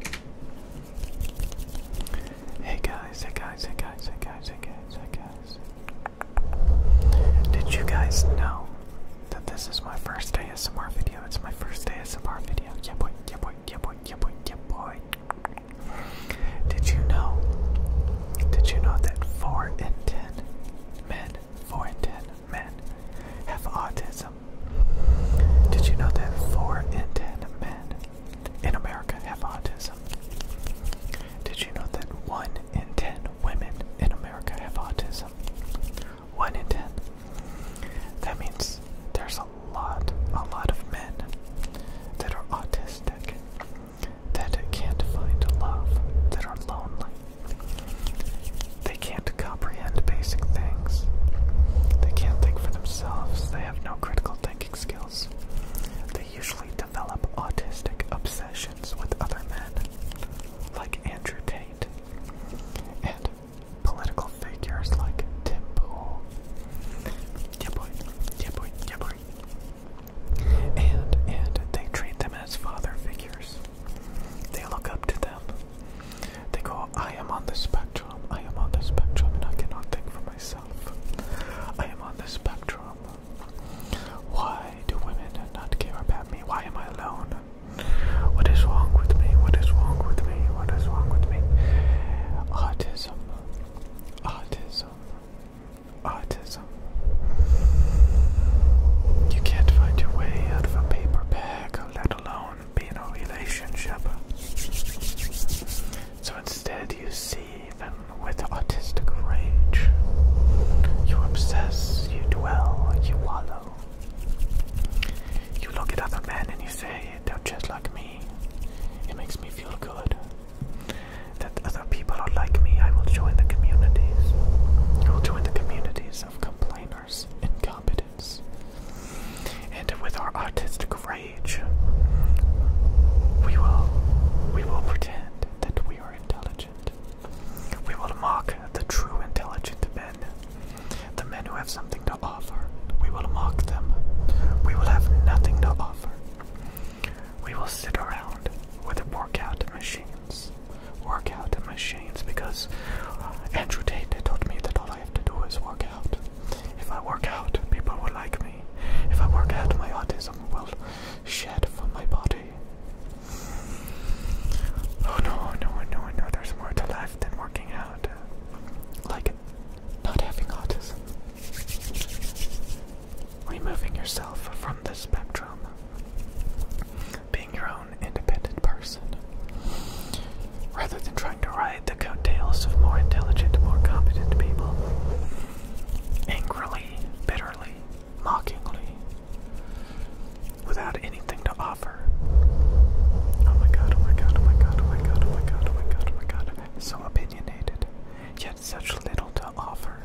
Hey guys, hey guys, hey guys, hey guys, hey guys, hey guys. Did you guys know that this is my first ASMR video? It's my first ASMR video. Yeah boy, yeah boy, yeah boy, yeah boy, yeah boy. Did you know? Did you know that four in ten men, four in ten men have autism? Did you know that 4 in 10 men in America have autism? Did you know that 1 in 10 women in America have autism? 1 in 10. That means there's a lot, a lot of men that are autistic, that can't find love, that are lonely. They can't comprehend basic things. They can't think for themselves, they have no critical thinking skills. They usually develop autistic obsessions with other men, like Andrew Tate, and political figures like Timbo. Yeah, boy, yeah, boy, yeah, boy. And, and they treat them as father figures. They look up to them. They go, I am on the spectrum, I am on the spectrum, and I cannot think for myself. I am on the spectrum. Why do women not care about me? Why am I alone? What is wrong with me? What is wrong with me? What is wrong with me? Autism. Autism. Autism. You can't find your way out of a paper bag, let alone be in a relationship. So instead, you see even with autistic rage. You obsess, you dwell, you wallow. You look at other men and you say, they're just like me. It makes me feel good. That other people are like me, I will join the communities. I will join the communities of complainers, incompetent and with our artistic rage, we will we will pretend that we are intelligent. We will mock the true intelligent men, the men who have something to offer. We will mock them. We will have nothing to offer. We will sit around with workout machines. Workout machines because Andrew Tate told me that all I have to do is work if I work out, people will like me. If I work out, my autism will shed from my body. Oh no, no, no, no, there's more to life than working out. Like not having autism. Removing yourself from the spectrum. Being your own independent person. Rather than trying to ride the coattails of more intelligent, more competent people, angrily, bitterly, mockingly, without anything to offer. Oh my god, oh my god, oh my god, oh my god, oh my god, oh my god, oh my god. So opinionated, yet such little to offer.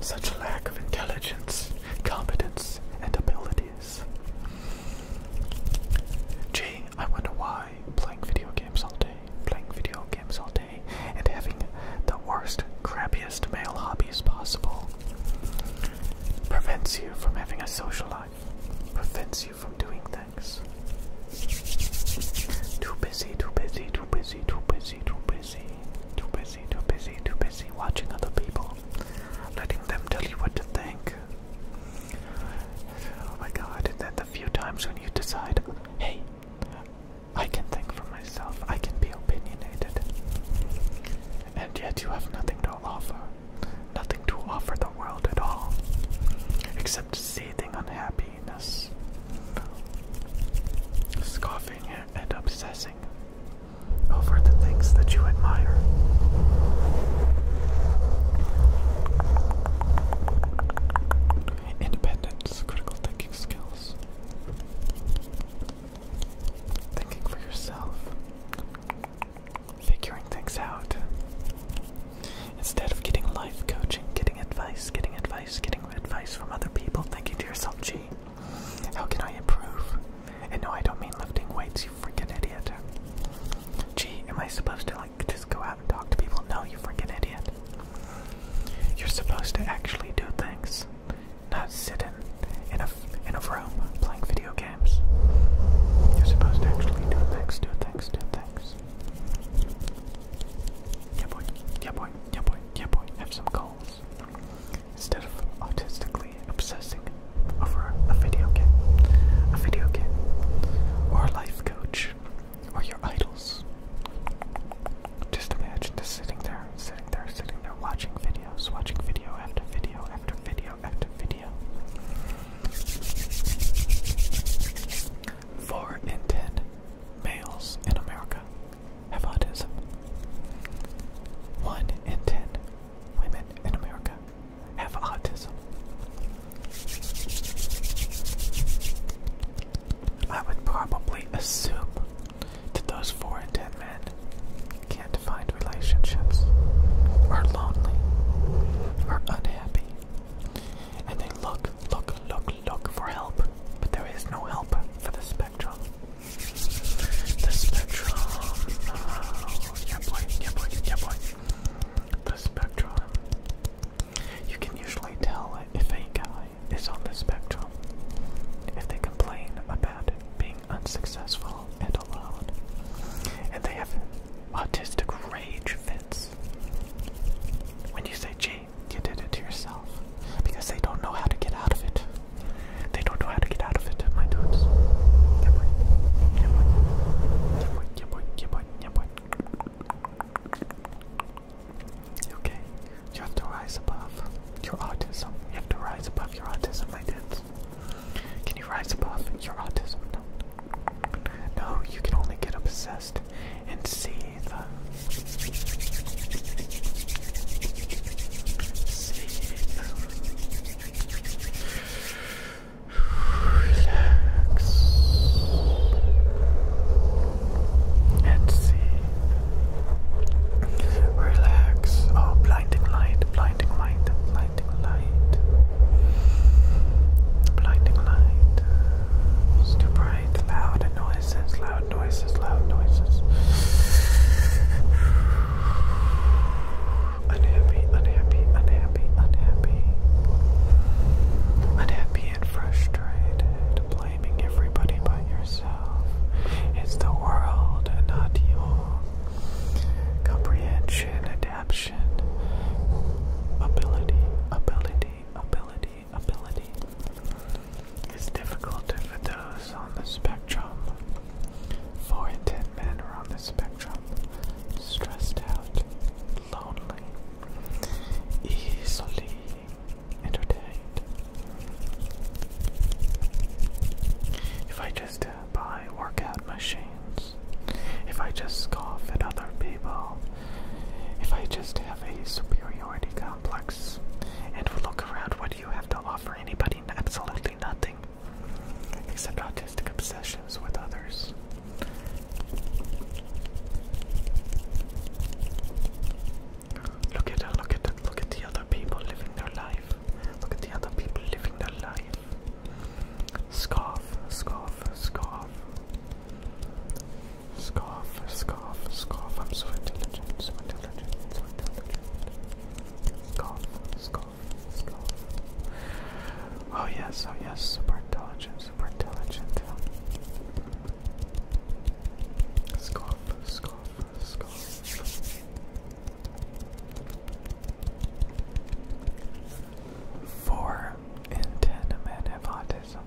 Such lack of intelligence, competence, and ability is. I wonder why playing video games all day, playing video games all day, and having the worst, crappiest male hobbies possible prevents you from having a social life, prevents you from doing things. Too busy, too busy, too busy, too busy, too busy, too busy, too busy, too busy watching other people, letting them tell you what to think, Oh my god, and then the few times when you decide, hey, I can think for myself, I can be opinionated, and yet you have nothing to offer, nothing to offer the world at all, except seething unhappiness, scoffing and obsessing over the things that you admire. Independence, critical thinking skills, thinking for yourself, figuring things out. Instead of getting life coaching, getting advice, getting advice, getting advice from other people, thinking to yourself, gee, how can I improve? And no, I don't mean lifting weights, you freaking idiot. Gee, am I supposed to like just go out and talk to people? No, you freaking idiot. You're supposed to actually do things, not sit in, in a in a room playing video games. You're supposed to actually do things, do things, do things. Yeah boy, yeah boy, yeah boy, yeah boy. Have some goals instead of autistic obsessing over a video game, a video game, or a life coach, or your idols. Just imagine just sitting there, sitting there, sitting there, watching videos, watching video after video after video after video. Four in ten males in America have autism. One in ten women in America have autism. I would probably assume that those four and ten men can't find relationships, are lonely, are unhappy, and they look, look, look, look for help, but there is no help for the spectrum. The spectrum yeah boy, yeah boy, yeah boy. The spectrum. You can usually tell if a guy is on the spectrum if they complain about being unsuccessful and alone, and they have autistic rage fits. When you say, gee, you did it to yourself, because they don't know how to get out of it. They don't know how to get out of it, my dudes. Yeah, boy. Yeah, boy. Yeah, boy. Yeah, boy. Yeah, boy. Okay, you have to rise above your autism. You have to rise above your autism, my dudes. Can you rise above your autism? No. No, you can only get obsessed and see the see Relax and see. Relax. Oh, blinding light, blinding light, blinding light, blinding light. It's too bright. Loud noises, loud noises, loud noises unhappy, unhappy, unhappy, unhappy, unhappy and frustrated, blaming everybody but yourself. It's the world and not you. Comprehension, adaption, ability, ability, ability, ability. It's difficult for those on the spectrum. Four in ten men are on the spectrum, stressed out, lonely, easily entertained. If I just uh, buy workout machines, if I just scoff at other people, if I just have a superiority complex and look around, what do you have to offer anybody? Absolutely nothing except autistic obsessions with others. Look at look at look at the other people living their life. Look at the other people living their life. Scoff, scoff, scoff. Scoff, scoff, scoff. I'm so intelligent, so intelligent, so intelligent. Scoff, scoff. Oh yes, oh yes, super intelligent, super intelligent. Scoff, scoff, scoff. Four in ten men have autism.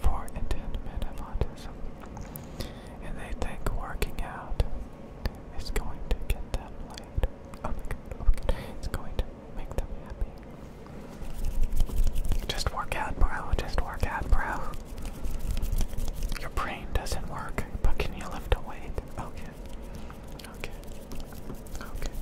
Four in ten men have autism and they think working out is going to get them laid. Oh my oh it's going to make them happy. Just work out, bro, just work out, bro. Your brain doesn't work, but can you lift a weight? Okay. Okay. Okay.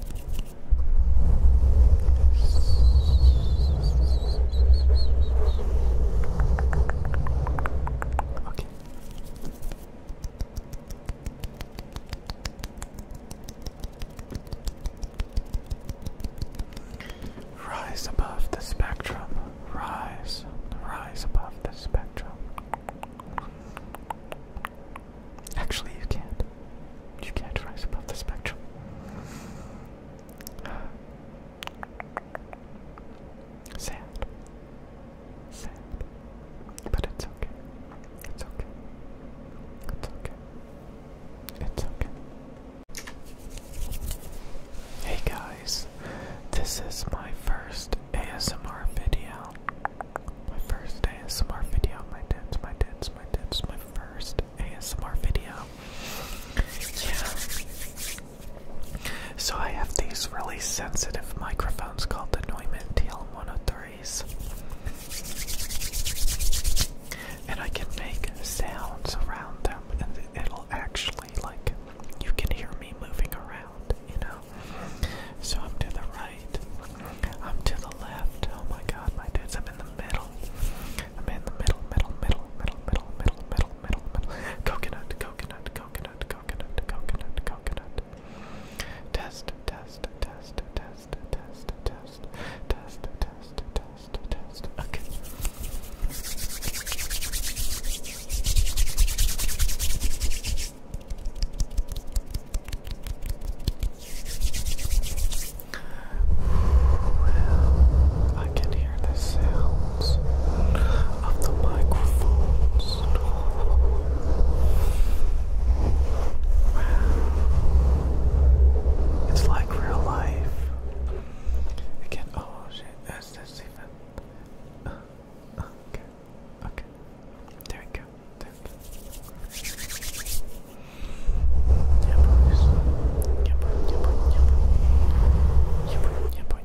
Rise above the spectrum. Rise. Rise above the spectrum. Actually, you can't. You can't rise above the spectrum. Sad. Sad. But it's okay. It's okay. It's okay. It's okay. Hey guys, this is my first ASMR video. My first ASMR video. My tips, my tips, my tips. My first ASMR video. Yeah. So I have these really sensitive microphones called the Neumann TL103s. And I can make sounds around them and it'll actually like you can hear me moving around, you know. So I'm to the right. I'm to the left. Oh my god, my dudes, I'm in the middle. I'm in the middle, middle, middle, middle, middle, middle, middle, metal, metal. Coconut, coconut, coconut, coconut, coconut, coconut. Test, test, test, test, test, test, test, test, test, test. Okay. Well, I can hear the sounds of the microphones. Wow. It's like real life. Again, oh shit, that's that's even. okay, okay. There we go. There we go. yeah, boy, yeah, boy. Yeah, boy, yeah, boy,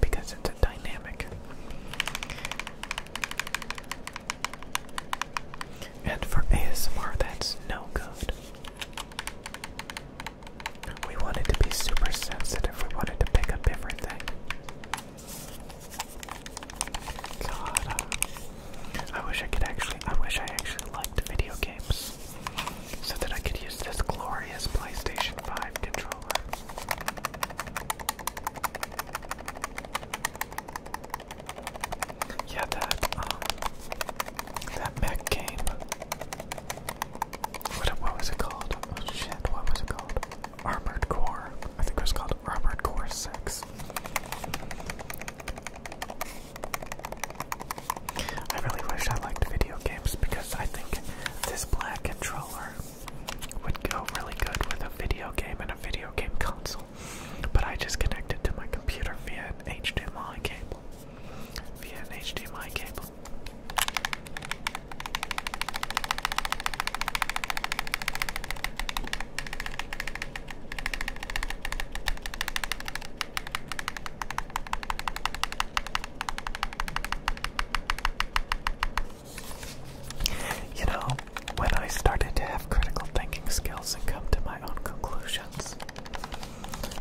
because it's a dynamic. And for ASMR, that's no good. We wanted to be super sensitive, we wanted to pick up everything. God, I wish I could actually, I wish I actually liked video games so that I could use this glorious PlayStation 5 controller. Yeah, that um, that mech game. What what was it called? Oh shit! What was it called? Armored Core. I think it was called Armored Core Six. I really wish I liked video games because I think this black controller would go really good with a video game and a video game console. But I just connected to my computer via an HDMI cable. Via an HDMI cable. You know, when I started to have critical thinking skills and come to my own conclusions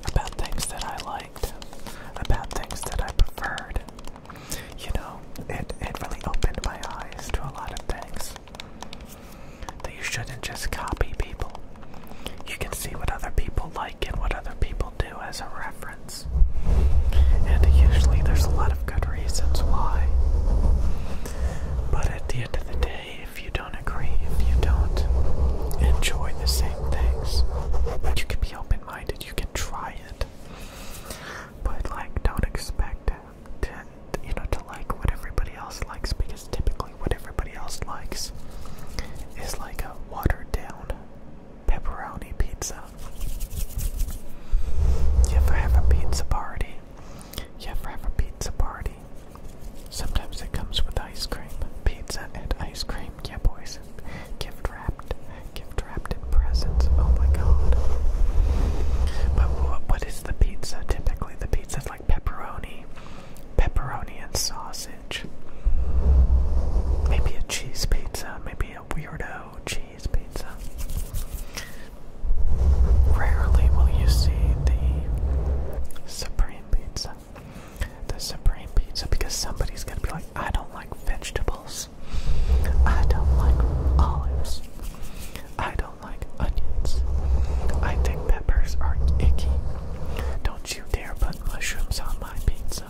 about things that I liked, about things that I preferred, you know, it, it really opened my eyes to a lot of things. That you shouldn't just copy people. You can see what other people like and what other people do as a reference. And usually there's a lot of good reasons why. But at the end of the day, if you don't agree, if you don't enjoy the same things, but you can be open minded, you can try it. But like don't expect to you know to like what everybody else likes because typically what everybody else likes is like a watered down pepperoni pizza. You ever have a pizza party? You ever have a pizza party? Sometimes it comes with ice cream. Pizza and ice cream, yeah, boys. Gift wrapped, gift wrapped in presents. Oh my god. But what is the pizza? Typically, the pizza is like pepperoni, pepperoni and sausage. Maybe a cheese pizza, maybe a weirdo cheese pizza. Rarely will you see the supreme pizza. The supreme pizza, because somebody's gonna be like, I don't like vegetables. I don't like olives. I don't like onions. I think peppers are icky. Don't you dare put mushrooms on my pizza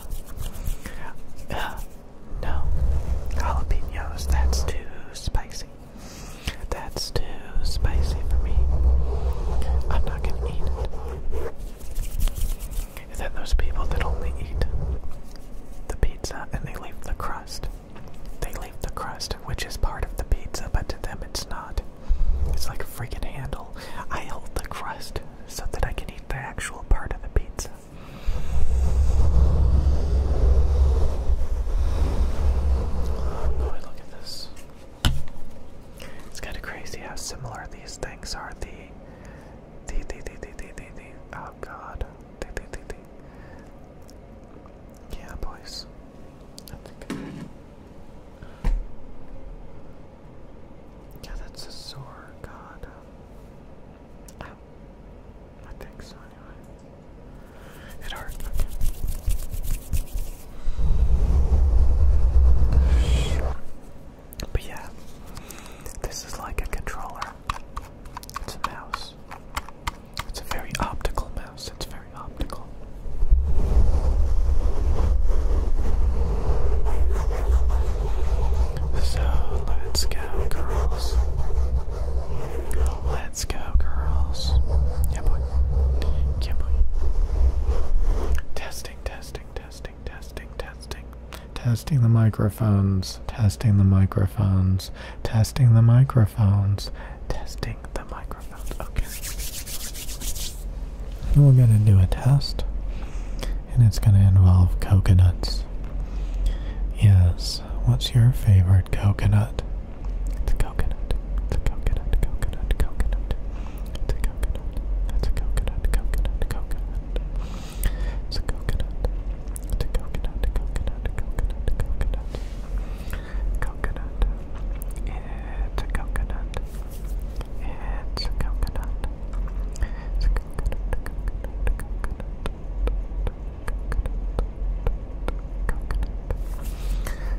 no, jalapenos, that's too spicy. That's too spicy for me. I'm not gonna eat it. then those people that only eat the pizza and they leave the crust. They leave the crust, which is part of the pizza, but to them it's not. It's like a freaking handle. I hold the crust so that I can eat the actual part of the pizza. Oh look at this. It's kind of crazy how similar these things are. The, the, the, the, the, the, the, oh god. The, the, the, Yeah, boys. Yeah, that's a sore god. I, think so, anyway. It hurt. But yeah, this is like a controller. It's a mouse. It's a very optical mouse. It's very optical. So let's go, girls. Let's go, girls. Yeah, boy. Testing, testing, testing, testing, testing. Testing the microphones. Testing the microphones. Testing the microphones. Testing the microphones. Okay. And we're going to do a test, and it's going to involve coconuts. Yes, what's your favorite coconut? It's a coconut. It's a coconut, coconut, coconut. It's a coconut. That's a coconut, coconut, coconut. It's a coconut. It's a coconut, coconut, coconut, coconut. Coconut. It's a coconut. It's a coconut. It's a coconut, It's a coconut.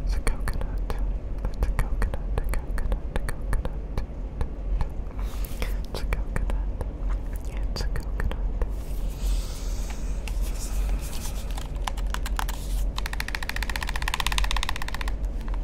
It's a coconut, a a coconut. It's a coconut. It's a coconut.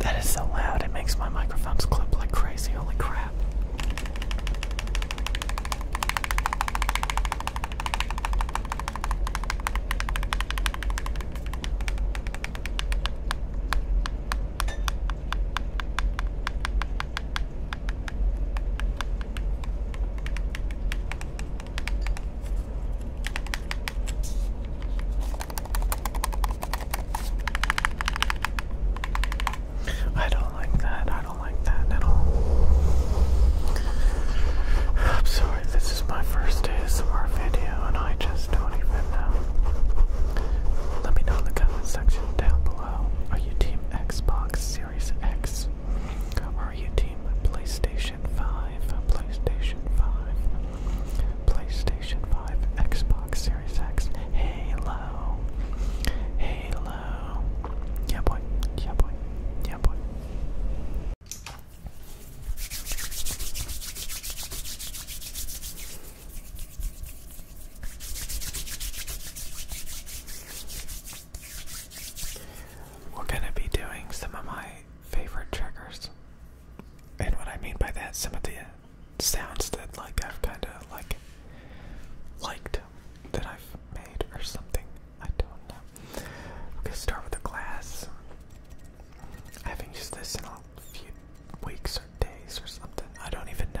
That is so loud, it makes my microphones clip like crazy. Holy crap. I don't like that. I don't like that at all. I'm sorry sorry, this is my first ASMR video and I just don't even know. Let me know in the comment section down below. Are you team Xbox Series X? are you team PlayStation 5? PlayStation 5? PlayStation 5, Xbox Series X, Halo, Halo. Yeah boy, yeah boy, yeah boy. We're going to be doing some of my favorite triggers. And what I mean by that, some of the sounds that like I've kind of like liked that I've made or something. I don't know. Okay, start with the glass. I haven't this in a few weeks or days or something. I don't even know.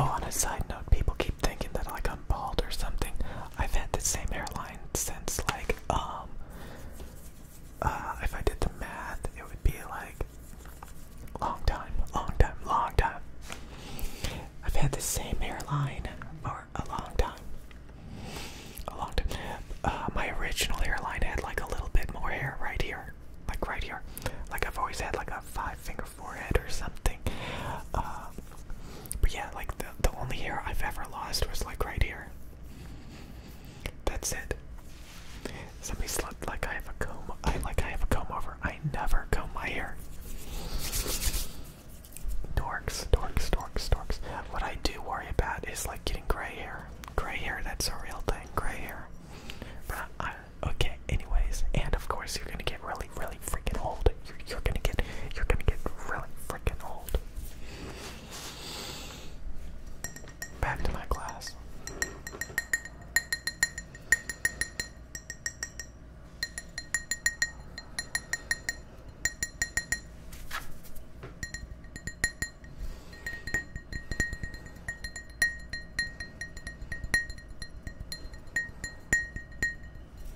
Oh, on a side note, people keep thinking that like I'm bald or something. I've had the same hairline since like um uh, if I did the math it would be like long time, long time, long time. I've had the same hairline for a long time. A long time. Uh, my original hairline had like a little bit more hair right here. Like right here. Like I've always had like a five finger forehead or something. Um, but yeah, like the the only hair I've ever lost was like right here. That's it. Somebody slept like I have a comb. I like I have a comb over. I never comb my hair. Dorks, dorks, dorks, dorks. What I do worry about is like getting gray hair. Gray hair, that's a real thing. Gray hair. okay, anyways, and of course you're gonna get really really, freaking old. You're, you're gonna get, you're gonna get really freaking old. Back to my class.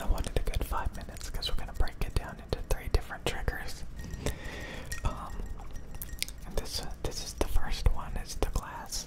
I wanted a good five minutes because we're gonna break it down into three different triggers. Um, this uh, this is the first one. It's the glass.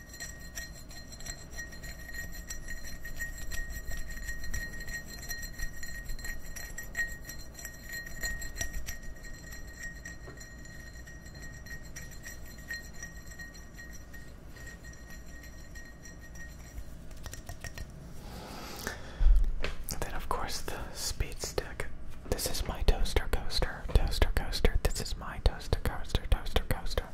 And then, of course, the speed stick. This is my toaster coaster toaster coaster. This is my toaster coaster, toaster coaster.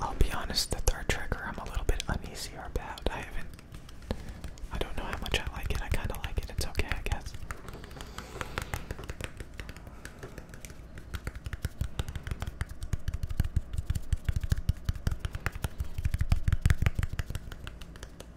I'll be honest, the third trigger I'm a little bit uneasy about. I haven't. I don't know how much I like it. I kind of like it. It's okay, I guess.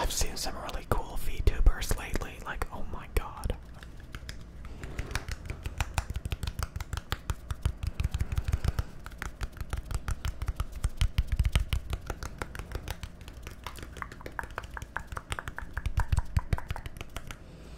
I've seen some really cool VTubers lately, like, oh my god.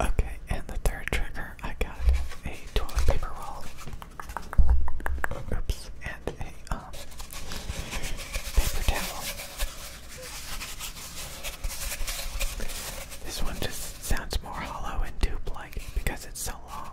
Okay, and the third trigger, I got a toilet paper roll. Oops, and a um, paper towel. This one just sounds more hollow and tube-like because it's so long.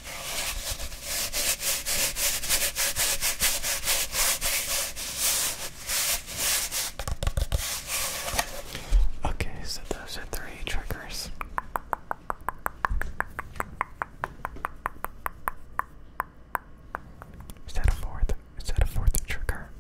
Okay, so those are three triggers. Is that a fourth? Is that a fourth trigger?